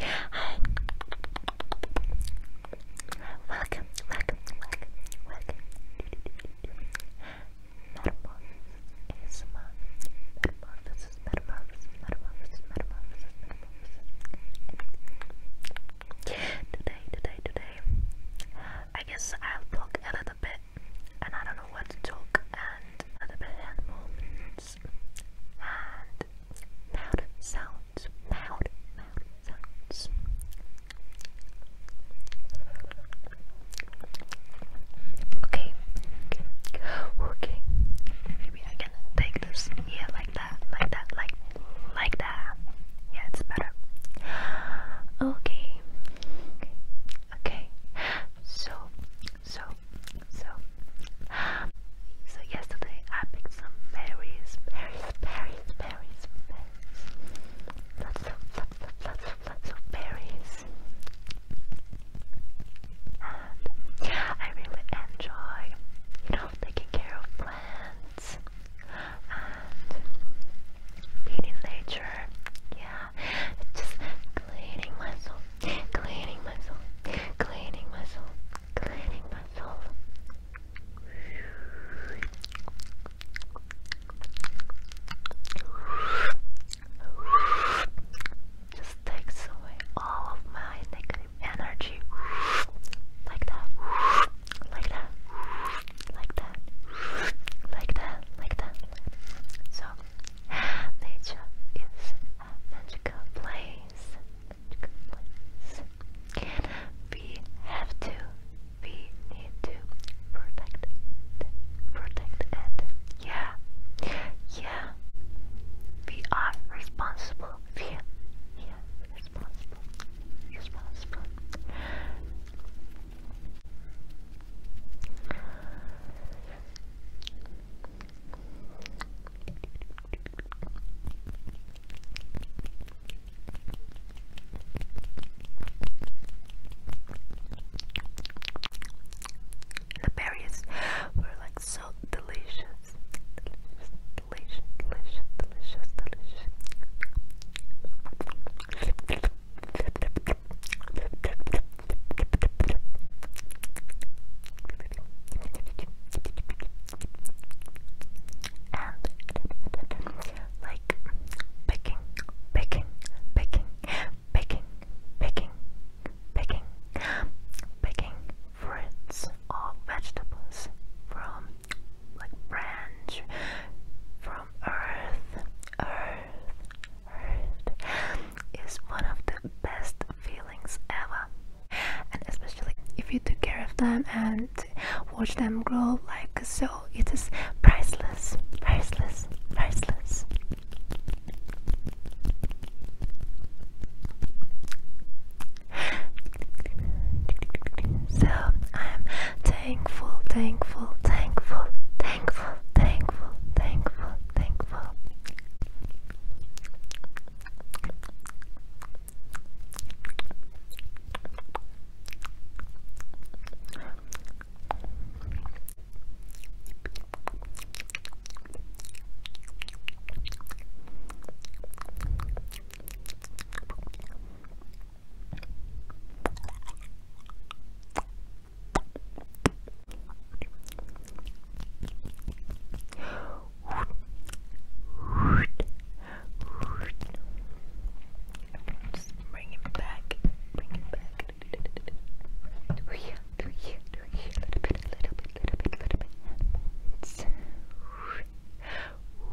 Hi. Welcome, welcome, welcome, welcome. Metamorphosis is my metamorphosis, metamorphosis, metamorphosis, metamorphosis, metamorphosis. Today, today, today. I guess I'll talk a little bit, and I don't know what to talk, and a little bit hand movements, and Loud sounds. Loud, loud sounds. Okay. Okay. Okay. Maybe I can take this. Yeah, like that. Like that. Like like that. Yeah, it's better. Okay. Okay. Okay. So so, so, so yesterday I picked some berries, berries, berries, berries, lots of, lots of, lots of, lots of berries, and I really enjoy, you know, taking care of plants, and being in nature, yeah, just cleaning myself cleaning muscle, cleaning muscle, cleaning muscle. Just takes away all of my negative energy. Like that. Like that. Like that. Like that. Like that. So nature is magical place, we have to, we need to protect protect it. Yeah, yeah. We are responsible. We yeah, responsible, responsible. The berries were like so delicious. Delicious, delicious, delicious, delicious, delicious like picking, picking, picking, picking, picking, picking, picking fruits or vegetables from like branch from earth, earth. Earth, one of the best feelings ever. And especially if you take care of them and watch them grow like so, it is priceless, priceless, priceless. So I'm thankful, thankful, thankful, thankful, thankful, thankful, thankful. Just bring it back. Bring it back. Do here, do here, do here. A little bit, a little bit, little bit, little bit. It's Relax.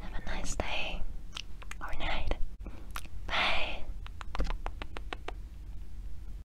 Have a nice day or night. Bye.